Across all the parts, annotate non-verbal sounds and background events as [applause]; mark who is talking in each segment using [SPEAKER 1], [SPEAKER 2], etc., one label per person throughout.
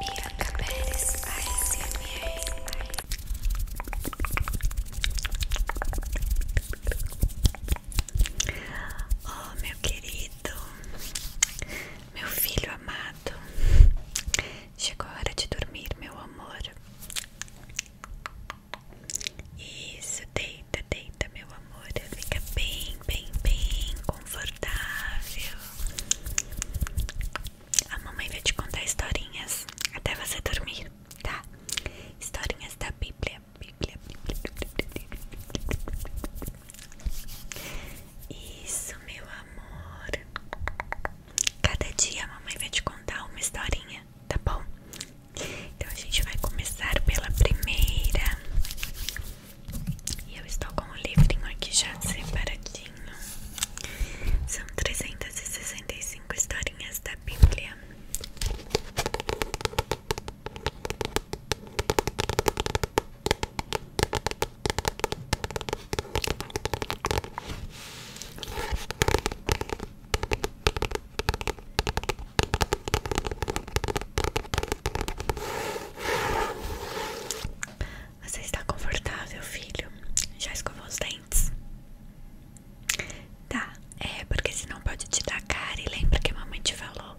[SPEAKER 1] Bianca Pérez ASMR Oh, meu querido, meu filho amado, chegou a hora de dormir, meu amor. Isso, deita, deita, meu amor. Fica bem, bem, bem confortável. A mamãe vai te contar historinhas até você dormir, tá? Historinhas da Bíblia. Bíblia. Isso, meu amor. Cada dia a mamãe vai te contar uma historinha, tá bom? Então a gente vai começar pela primeira. E eu estou com o livrinho aqui já separadinho são trezentas e sessenta e cinco historinhas da Bíblia. Você está confortável, filho? Já escovou os dentes? Tá, é porque senão pode te dar cara e lembra que a mamãe te falou.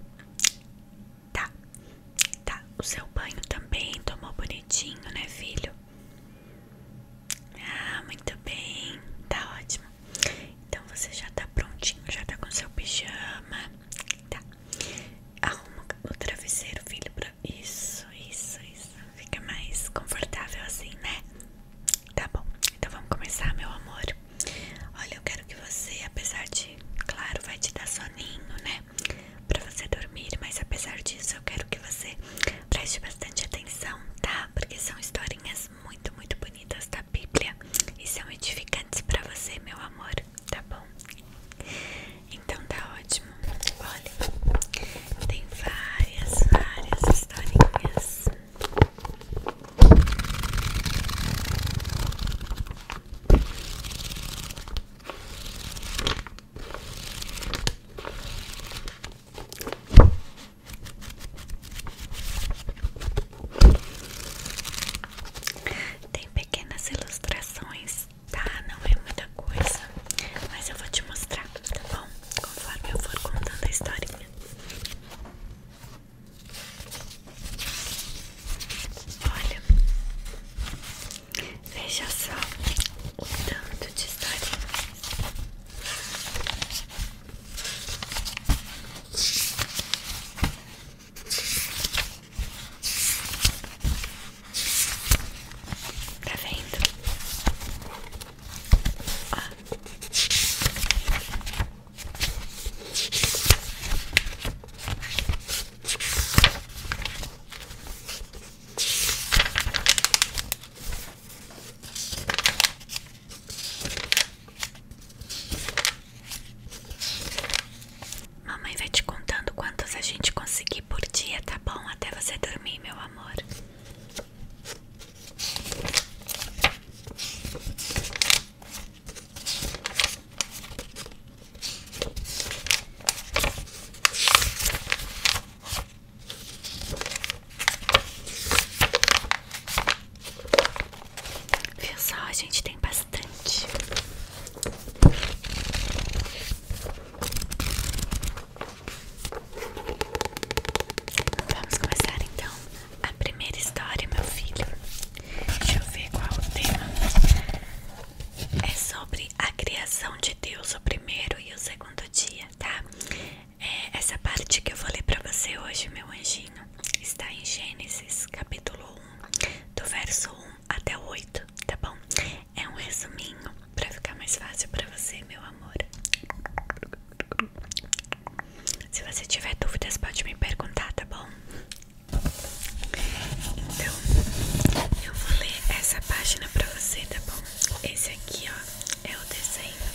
[SPEAKER 1] Tá, tá. O seu banho também tomou bonitinho, né, filho? Ah, muito bem. Tá ótimo. Então você já está prontinho, já está com seu pijama. Tá. Arruma o travesseiro, filho, pra... Isso, isso, isso. Fica mais confortável assim, né? Tá bom. Então vamos começar, meu amor. Olha, eu quero que você, apesar de... Claro, vai te dar soninho, né? Pra você dormir, mas apesar disso, eu quero que você preste bastante atenção, tá? Porque são historinhas muito, muito bonitas da Bíblia e são edificantes pra você, meu amor, tá bom? Então tá ótimo. Olha, tem várias, várias historinhas. Tem pequenas ilustrações Tá, não é muita coisa, mas eu vou te mostrar, tá bom? Conforme eu for contando a historinha. Olha, veja só o tanto de historinha. Tá vendo? Ah. Mamãe vai te contando quantos a gente conseguir por dia, tá bom? Até você dormir, meu amor. Viu só, a gente tem bastante. Vamos começar então a primeira história, meu filho. Deixa eu ver qual o tema. É sobre a criação de Deus, o primeiro e o segundo dia, tá? É, essa parte que eu vou ler pra você hoje, meu anjinho, está em Gênesis capítulo 1, do verso 1 até o 8, tá bom? É um resuminho para ficar mais fácil para você, meu amor. Se você tiver dúvidas, pode me perguntar, tá bom? Então, eu vou ler essa página pra você, tá bom? Esse aqui, ó, é o desenho.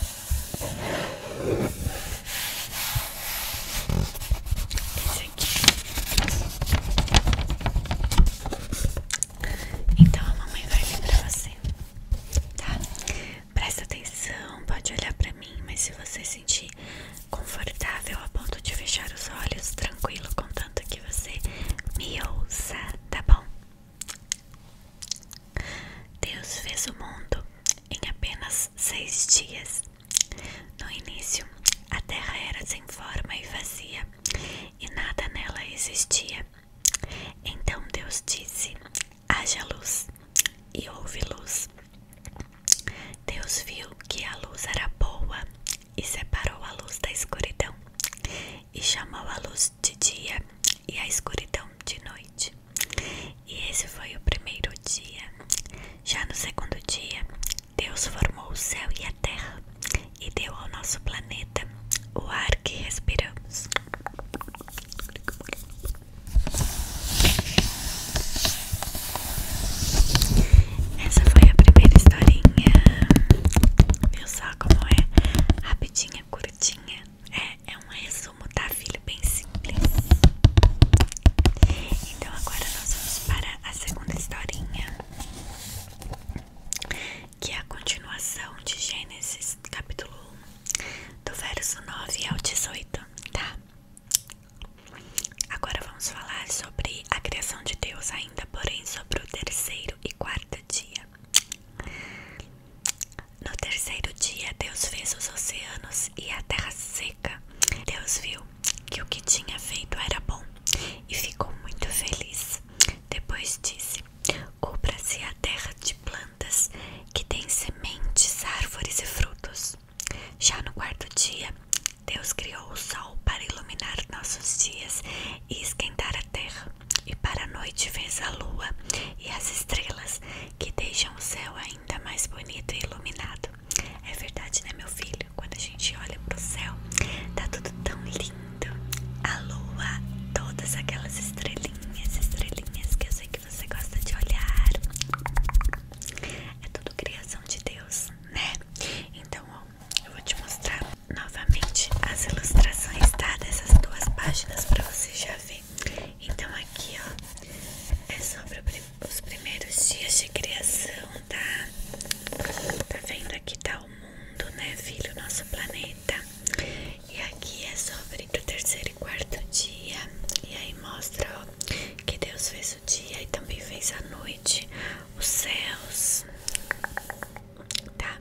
[SPEAKER 1] Esse aqui então a mamãe vai vir pra você, tá? Presta atenção, pode olhar pra mim, mas se você sentir confortável a ponto de fechar os olhos, tranquilo, contanto que você me ouça, tá bom? Deus fez o mundo em apenas seis dias. No início, a terra era sem forma e vazia, e nada nela existia. Então Deus disse: Haja luz, e houve luz. Deus viu que a luz era boa e separou a luz da escuridão, e chamou a luz de dia e a escuridão de noite. E esse foi o primeiro dia. Já no segundo dia, Deus formou o céu e Terra e deu ao nosso planeta o ar que respiramos. Essa foi a primeira historinha. Viu só como é? Rapidinha, curtinha. É, é um resumo, tá, filho? Bem simples. Então agora nós vamos para a segunda historinha que é a continuação de Gênesis capítulo 1, do verso 9 ao 18, tá? Agora vamos falar sobre a criação de Deus ainda, porém sobre o terceiro e quarto dia. No terceiro dia, Deus fez os oceanos e a terra seca. Deus viu que o que tinha feito era bom e ficou muito feliz. Depois disse: Cubra-se a terra de plantas que têm sementes, árvores e frutos. Já no quarto dia, Deus criou o sol para iluminar nossos dias e esquentar a terra. E para a noite fez a lua e as estrelas, que deixam o céu ainda mais bonito e iluminado. É verdade, né, meu filho? Quando a gente olha pro céu, tá tudo tão lindo a lua, todas aquelas estrelinhas, estrelinhas que eu sei que você gosta de olhar. É tudo criação de Deus, né? Então, ó, eu vou te mostrar novamente as ilustrações, tá? Dessas duas páginas pra você já ver. Então, aqui, ó, é sobre os primeiros dias de criação, tá? Tá vendo aqui, tá? o mundo, né, filho? Nosso planeta. E aqui é sobre o terceiro e quarto dia. E aí mostra que Deus fez o dia e também fez a noite, os céus. Tá?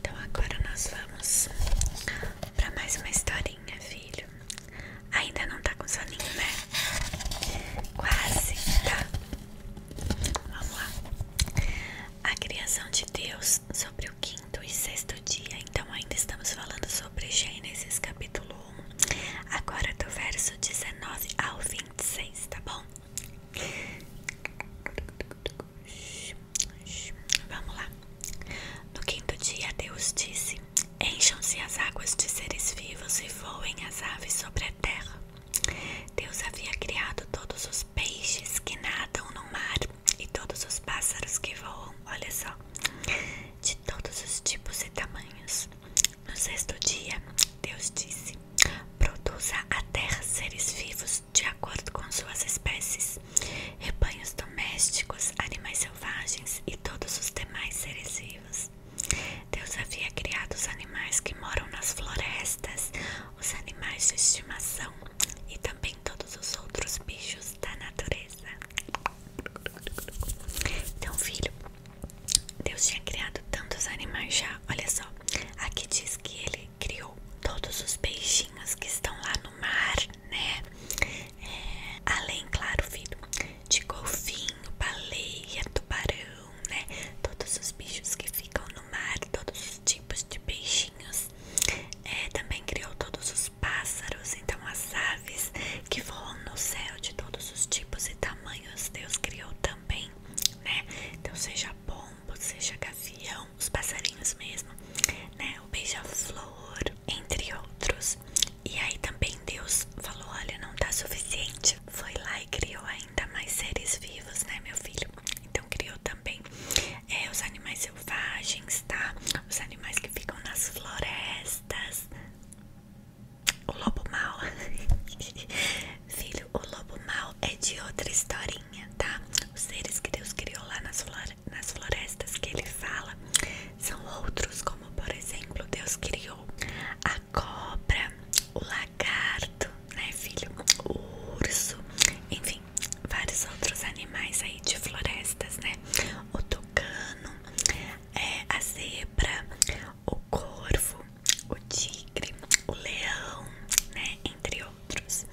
[SPEAKER 1] Então agora nós vamos para mais uma historinha, filho. Ainda não tá com soninho, né? Quase, tá? Vamos lá a criação de Deus sobre o quinto e sexto dia. Então, ainda estamos falando sobre Gênesis capítulo 1, agora do verso 19 ao 26, tá bom? Vamos lá. No quinto dia, Deus disse: Encham-se as águas de seres vivos e voem as aves sobre a terra. Deus havia criado todos os peixes que nadam no mar e todos os pássaros que voam, olha só, de todos os tipos e tamanhos. No sexto dia, Deus disse: Produza a terra seres vivos de acordo com suas espécies, rebanhos domésticos, animais selvagens e todos os demais seres vivos. Deus havia criado os animais que moram nas florestas, os animais de estimação e também todos os outros bichos da natureza. Então, filho, Deus tinha criado tantos animais já. Olha só, aqui diz que ele criou todos os peixinhos que estão lá no mar, né? É, além, claro, filho, de golfinho, baleia, tubarão, né? Todos os bichos que ficam no mar, todos os tipos de peixinhos. É, também criou todos os pássaros, então as aves que voam no céu de todos os tipos e tamanhos, Deus criou também, né? Então seja pombo, seja gavião, os passarinhos mesmo, né? O beija-flor, entre outros. E aí também Deus falou, olha, não tá suficiente. Foi lá e criou ainda mais seres vivos, né, meu filho? Então, criou também é, os animais selvagens, tá? Os animais que ficam nas florestas. O lobo mal, [laughs] filho, o lobo mal é de outra historinha, tá? Os seres que Deus criou lá nas, flore nas florestas que ele fala são outros, como por exemplo, Deus criou a cobra, o lagarto, né, filho? O urso, enfim, vários outros animais aí de florestas, né? O tucano, é, a zebra, o corvo, o tigre, o leão, né? Entre outros.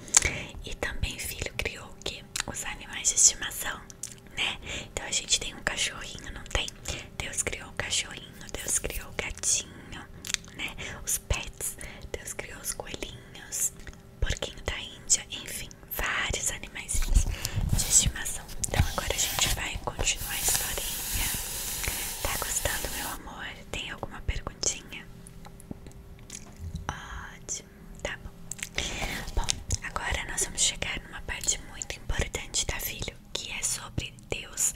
[SPEAKER 1] E também, filho, criou o quê? Os animais de estimação, né? Então a gente tem um cachorrinho, não tem? Deus criou o cachorrinho, Deus criou o gatinho, né? Os pets, Deus criou os coelhinhos, porquinho da Índia, enfim, vários animais de estimação. Então agora a gente vai continuar a historinha. Tá gostando, meu amor? Tem alguma perguntinha? Ótimo, tá bom. Bom, agora nós vamos chegar numa parte muito importante da tá, filho, que é sobre Deus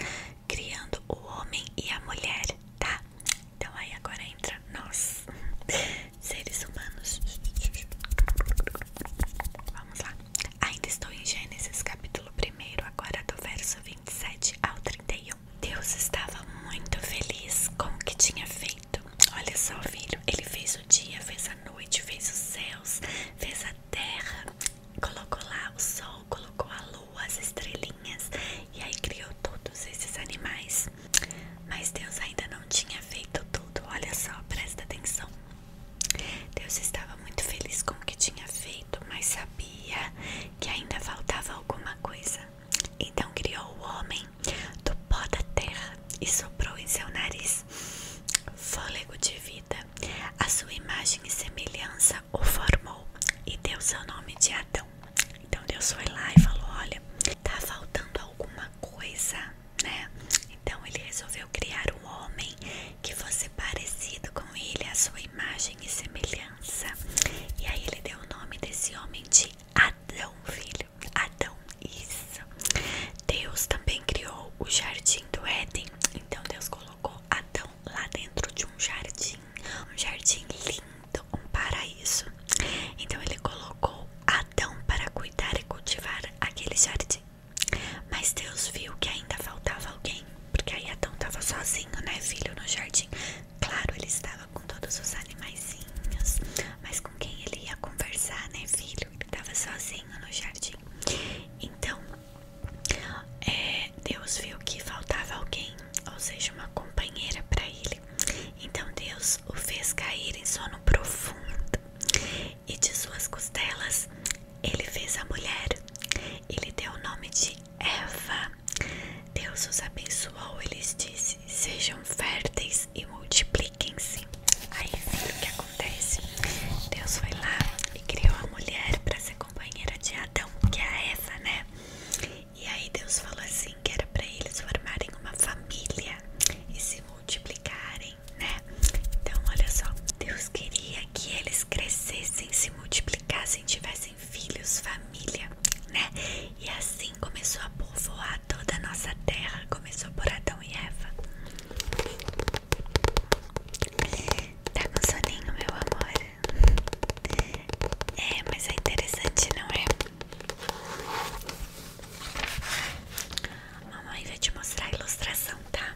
[SPEAKER 1] criando o homem e a mulher, tá? Então aí agora entra nós, [laughs] seres humanos. Vamos lá. Ainda estou em Gênesis capítulo 1, agora do verso 27 ao 31. Deus estava muito feliz com o que tinha feito. Olha só, filho, ele fez o dia, fez a noite, fez os céus, fez a terra, colocou lá o sol colocou a lua, as estrelinhas e aí criou todos esses animais. Mas Deus ainda não tinha feito tudo. Olha só, presta atenção. Deus estava muito feliz com o que tinha feito, mas sabia que ainda faltava alguma coisa. Então criou o homem do pó da terra e soprou em seu nariz fôlego de vida. A sua imagem e semelhança o formou e deu seu nome de Adão. Então, então Deus foi lá e falou: Olha, tá faltando alguma coisa, né? Então ele resolveu criar um homem que fosse parecido com ele, a sua imagem e semelhança. E aí ele deu o nome desse homem de Adão, filho. Adão, isso. Deus também criou o jardim do Éden. Então Deus colocou Adão lá dentro de um jardim, um jardim lindo então, um paraíso. Então ele colocou Adão para cuidar e cultivar aquele jardim. Mas Deus viu que ainda faltava alguém, porque aí Adão estava sozinho, né, filho, no jardim. Claro, ele estava com todos os animaizinhos, mas com quem ele ia conversar, né, filho? Ele estava sozinho no jardim. Então, é, Deus viu que faltava alguém ou seja, uma companheira para ele. Então Deus o fez cair em sono profundo, e de suas costelas ele fez a mulher. Ele deu o nome de Eva. Deus os abençoou, eles disse: Sejam férteis e multipliquem-se. Aí vem é assim o que acontece. Deus foi lá e criou a mulher para ser companheira de Adão, que é a Eva, né? E aí Deus falou assim que era para eles formarem uma família e se multiplicarem, né? Então olha só, Deus queria que eles crescessem, se multiplicassem, tivessem filhos, família, né? E assim começou a povoar toda a nossa terra, começou por Adão e Eva. Tá com soninho, meu amor? É, mas é interessante, não é? Mamãe vai te mostrar a ilustração, tá?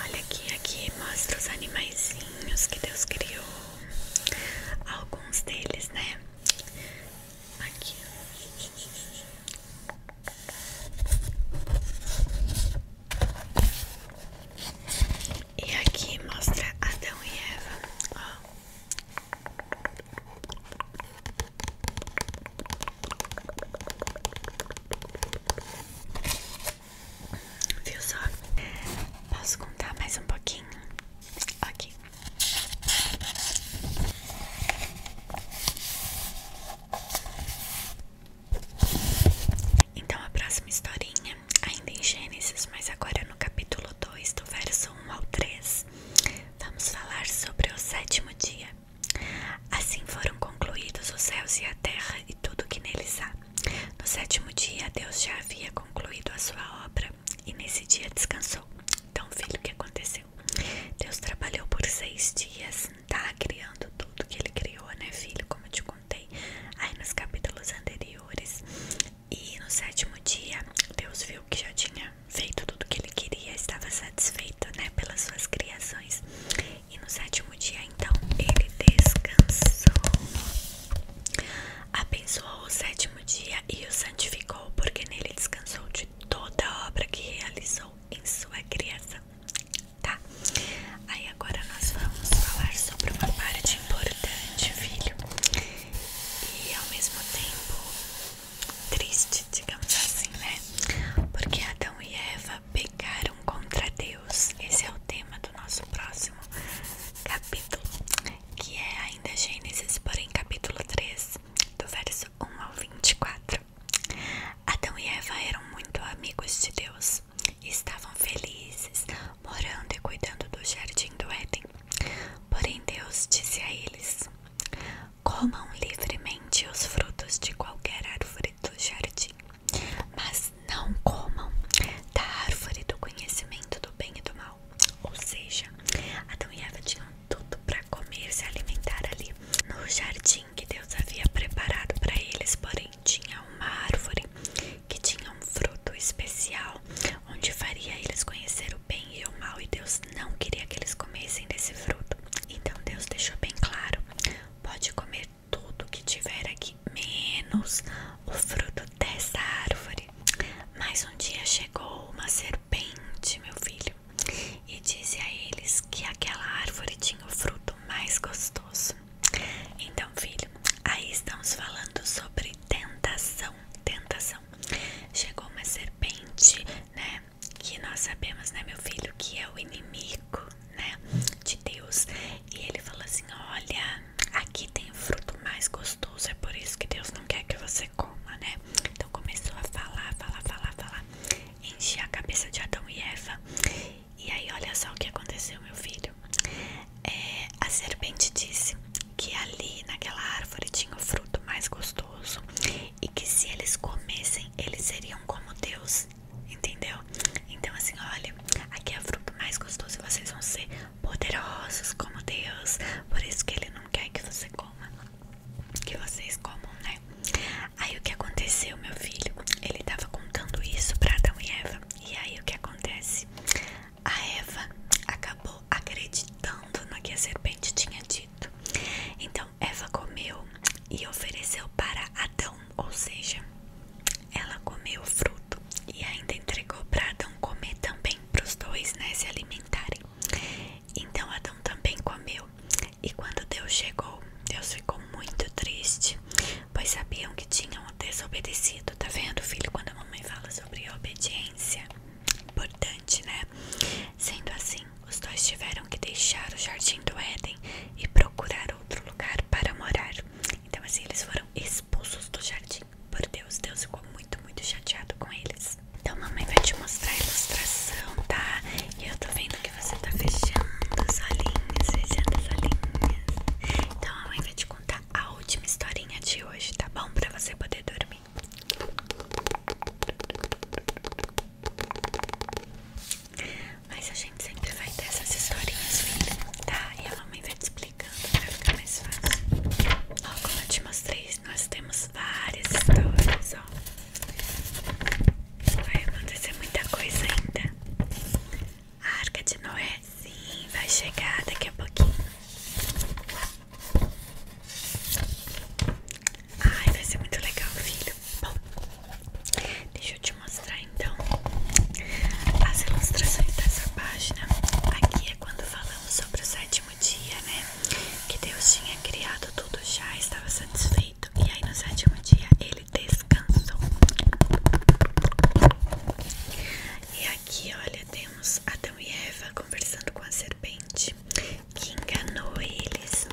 [SPEAKER 1] Olha aqui, aqui mostra os animaizinhos que Deus criou. Alguns deles, né? Aqui. E aqui mostra Adão e Eva. Viu só? Posso contar mais um pouquinho? aqui. Então a próxima historinha, ainda em Gênesis, mas agora no capítulo 2, do verso 1 ao 3, vamos falar sobre o sétimo dia. Assim foram concluídos os céus e a terra e tudo que neles há. No sétimo dia, Deus já havia concluído a sua obra e nesse dia descansou. Então, filho, o que aconteceu? Deus trabalhou por seis dias, tá? Criando tudo que ele criou, né, filho? Como eu te contei aí nos capítulos anteriores. E no sétimo dia, Deus viu que já tinha feito tudo que ele queria, estava satisfeito, né, pelas suas criações. E no sétimo dia, então, ele descansou. Abençoou o sétimo dia e o santificou, porque nele descansou de toda a obra que realizou em sua criação, tá? Aí agora nós vamos falar sobre uma parte importante, filho, e ao mesmo tempo triste, digamos assim, né? Porque Adão e Eva pecaram contra Deus. Esse é o tema do nosso próximo capítulo, que é ainda Gênesis, porém capítulo 3, do verso 1 ao 24. Adão e Eva eram muito amigos de Deus e estavam felizes, morando e cuidando do jardim do Éden. Porém, Deus disse a eles: Comam livremente os frutos de qualquer árvore do jardim, mas não comam da árvore do conhecimento do bem e do mal. Ou seja, Adão e Eva tinham tudo para comer, e se alimentar ali no jardim Assim que Deus havia preparado para eles, porém tinha uma árvore que tinha um fruto especial, onde faria eles conhecer o bem e o mal, e Deus não queria que eles comessem desse fruto. Então Deus deixou bem claro: pode comer tudo o que tiver aqui, menos o fruto dessa árvore. Mas um dia chegou uma serpente, meu filho, e disse a eles que aquela árvore tinha o fruto mais gostoso. Então, filho, aí estamos falando sobre tentação. Tentação. Chegou uma serpente, né? Que nós sabemos, né, meu filho, que é o inimigo, né? De Deus. E ele falou assim: Olha, aqui tem o fruto mais gostoso. É por isso que Deus não quer que você coma, né? Então começou a falar, falar, falar, falar enchi a cabeça de Adão e Eva. E aí, olha só o que aconteceu, meu filho. É, a serpente disse que ali naquela árvore tinha o fruto mais gostoso e que se eles comessem, eles seriam como Deus, entendeu? Então, assim, olha, aqui é o fruto mais gostoso e vocês vão ser poderosos como Deus. Por isso que ele não quer que você coma, que vocês comam, né? Aí o que aconteceu, meu filho? Ele tava contando isso para Adão e Eva. E aí o que acontece? A Eva acabou acreditando no que a serpente tinha dito. Então Eva comeu e ofereceu para Adão, ou seja, ela comeu o fruto e ainda entregou para Adão comer também, para os dois, né, se alimentarem. Então Adão também comeu e quando Deus chegou, Deus ficou muito triste, pois sabiam que tinham desobedecido. Tá vendo, filho? Quando a mamãe fala sobre obediência, importante, né? Sendo assim, os dois tiveram que deixar o jardim do Éden e procurar outro lugar para morar. Então, assim, eles foram expulsos do jardim. Por Deus, Deus ficou muito, muito chateado com eles. Então, mamãe vai te mostrar a ilustração, tá? E eu tô vendo que que você tá fechando as olhinhos, fechando as olhinhas. Então a mãe vai te contar a última historinha de hoje, tá bom? Pra você poder dormir. Mas a gente sempre vai ter essas historinhas, filha, tá? E a mamãe vai te explicando pra ficar mais fácil. Ó, como eu te mostrei, nós temos várias histórias, ó. Vai acontecer muita coisa ainda. A arca de Noé, sim, vai chegar daqui a pouquinho. Ai, vai ser muito legal, filho. Bom, deixa eu te mostrar então as ilustrações dessa página. Aqui é quando falamos sobre o sétimo dia, né? Que Deus tinha criado tudo já, estava satisfeito. E aí no sétimo dia ele descansou. E aqui, olha, temos Adão e Eva conversando com a serpente que enganou eles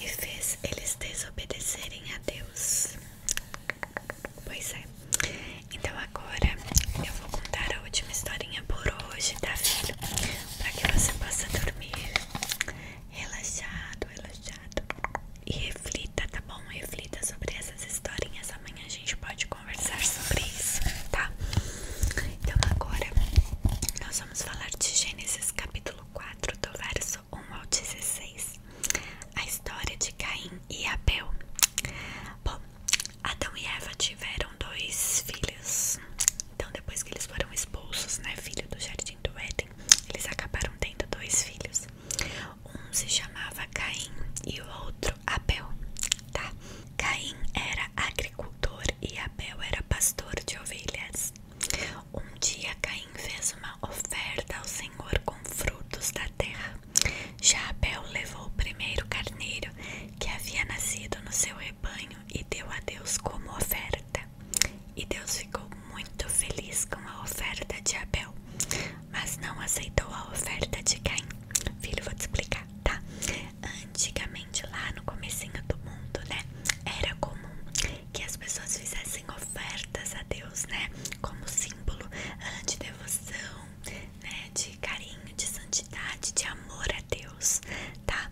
[SPEAKER 1] e fez eles desobedecerem a Deus. Pois é. Então agora eu vou contar a última historinha por hoje, tá filho? para que você possa dormir relaxado, relaxado e reflita, tá bom? Reflita sobre essas historinhas. Amanhã a gente pode conversar sobre isso, tá? Então agora nós vamos falar de Gênesis capítulo 4, do verso 1 ao 16. A história de Caim e Abel. Bom, Adão e Eva tiveram dois filhos, então depois que eles foram expulsos, né, filho do jardim do Éden, eles acabaram tendo dois filhos. Um se chamava Caim e o outro Abel, tá? Caim era agricultor e Abel era pastor de ovelhas. Um dia Caim fez uma oferta ao Senhor com frutos da terra. Já Abel levou o primeiro carneiro que havia nascido no seu rebanho e deu a Deus como oferta. E Deus ficou muito feliz com a oferta de Abel, mas não aceitou a oferta de Caim. Filho, vou te explicar, tá? Antigamente, lá no comecinho do mundo, né? Era comum que as pessoas fizessem ofertas a Deus, né? Como símbolo ah, de devoção, né? De carinho, de santidade, de amor a Deus, tá?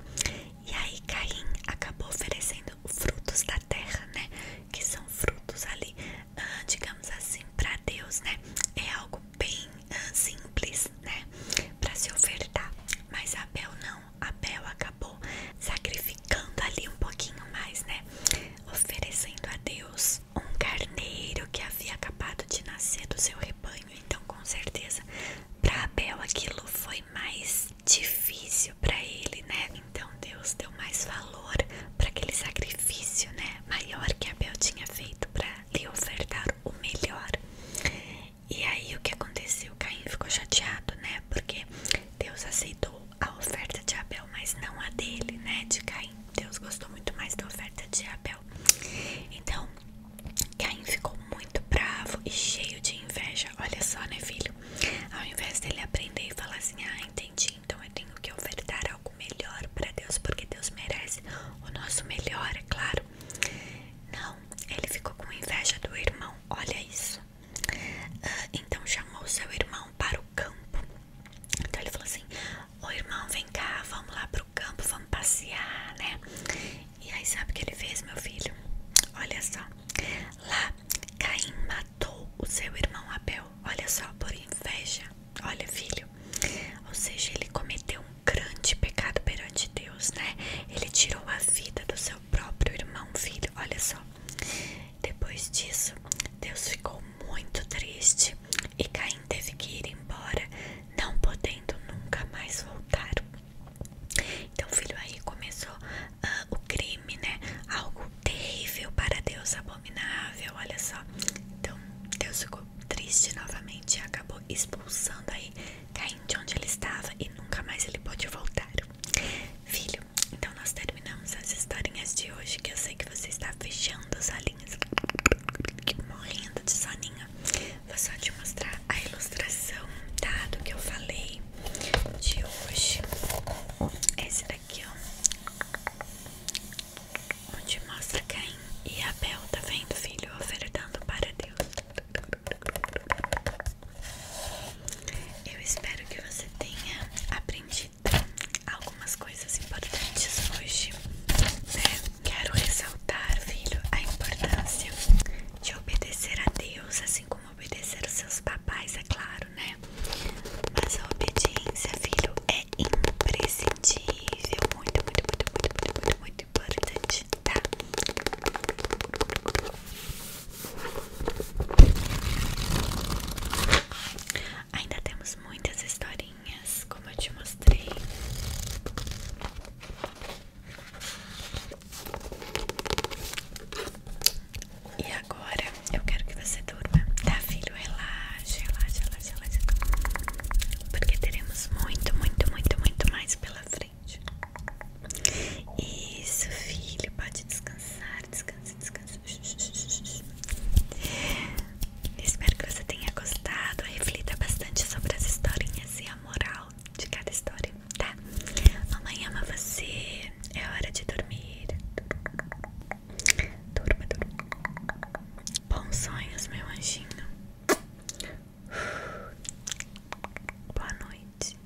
[SPEAKER 1] E aí Caim acabou oferecendo frutos da terra, né? Que são frutos ali, ah, digamos assim, para Deus, né? É algo bem ah, simples, né? Para se ofertar. Mas Abel não. Abel acabou sacrificando ali um pouquinho mais, né? Oferecendo a Deus um carneiro que havia acabado de nascer do seu rebanho. Então, com certeza, para Abel aquilo foi mais difícil para ele, né? Então Deus deu mais valor para aquele sacrifício, né? Maior que Abel tinha feito para lhe ofertar o melhor. E aí o que aconteceu? Caim ficou chateado, né? Porque Deus aceitou a oferta de Abel, mas não a dele, né? De Caim. Deus gostou muito mais da oferta de Abel. Então Caim ficou muito bravo e cheio de inveja. Olha só, né, filho? Ao invés dele aprender e falar assim: Ah, entendi, então eu tenho que ofertar algo melhor para Deus, porque Deus merece o nosso melhor, é claro. Não, ele ficou com inveja do irmão. Olha isso. Ah, então chamou seu irmão para o campo. Então ele falou assim: Ô irmão, vem cá, vamos lá pro campo, vamos passear, né? E aí sabe o que ele fez, meu filho? Olha só. Lá, Caim matou o seu irmão Abel. Olha só, por inveja. Olha, filho. Ou seja, ele cometeu um grande pecado perante Deus, né? Ele tirou a vida do seu próprio irmão, filho. Olha só. Depois disso, Deus ficou muito triste e Caim teve que ir embora, não podendo nunca mais voltar. Então, filho, aí começou ah, o crime, né? Algo terrível para Deus, abominável, olha só. Então, Deus ficou triste novamente e acabou expulsando aí Caim de onde ele estava e nunca mais ele pode voltar. Filho, então nós terminamos as historinhas de hoje, que eu sei que você está fechando os olhinhos, morrendo de soninho. Vou só te mostrar a ilustração, tá? Do que eu falei de hoje. Esse daqui, ó. Onde mostra Caim e Abel, tá vendo, filho? Ofertando para Deus. Eu espero que você tenha aprendido algumas coisas importantes hoje. Né? Quero ressaltar, filho, a importância de obedecer a Deus, assim como obedecer os seus papais, é claro, né? Mas a obediência, filho, é imprescindível. Muito, muito, muito, muito, muito, muito, muito importante, tá? Ainda temos muitas historinhas, como eu te mostrei. E agora eu quero que você durma, tá, filho? Relaxa, relaxa, relaxa, relaxa. Porque teremos muito, muito, muito, muito mais pela frente. Isso, filho, pode descansar, descansa, descansa. Espero que você tenha gostado. Reflita bastante sobre as historinhas e a moral de cada história, tá? Mamãe ama você, é hora de dormir. Durma, durma. Bons sonhos, meu anjinho. Boa noite.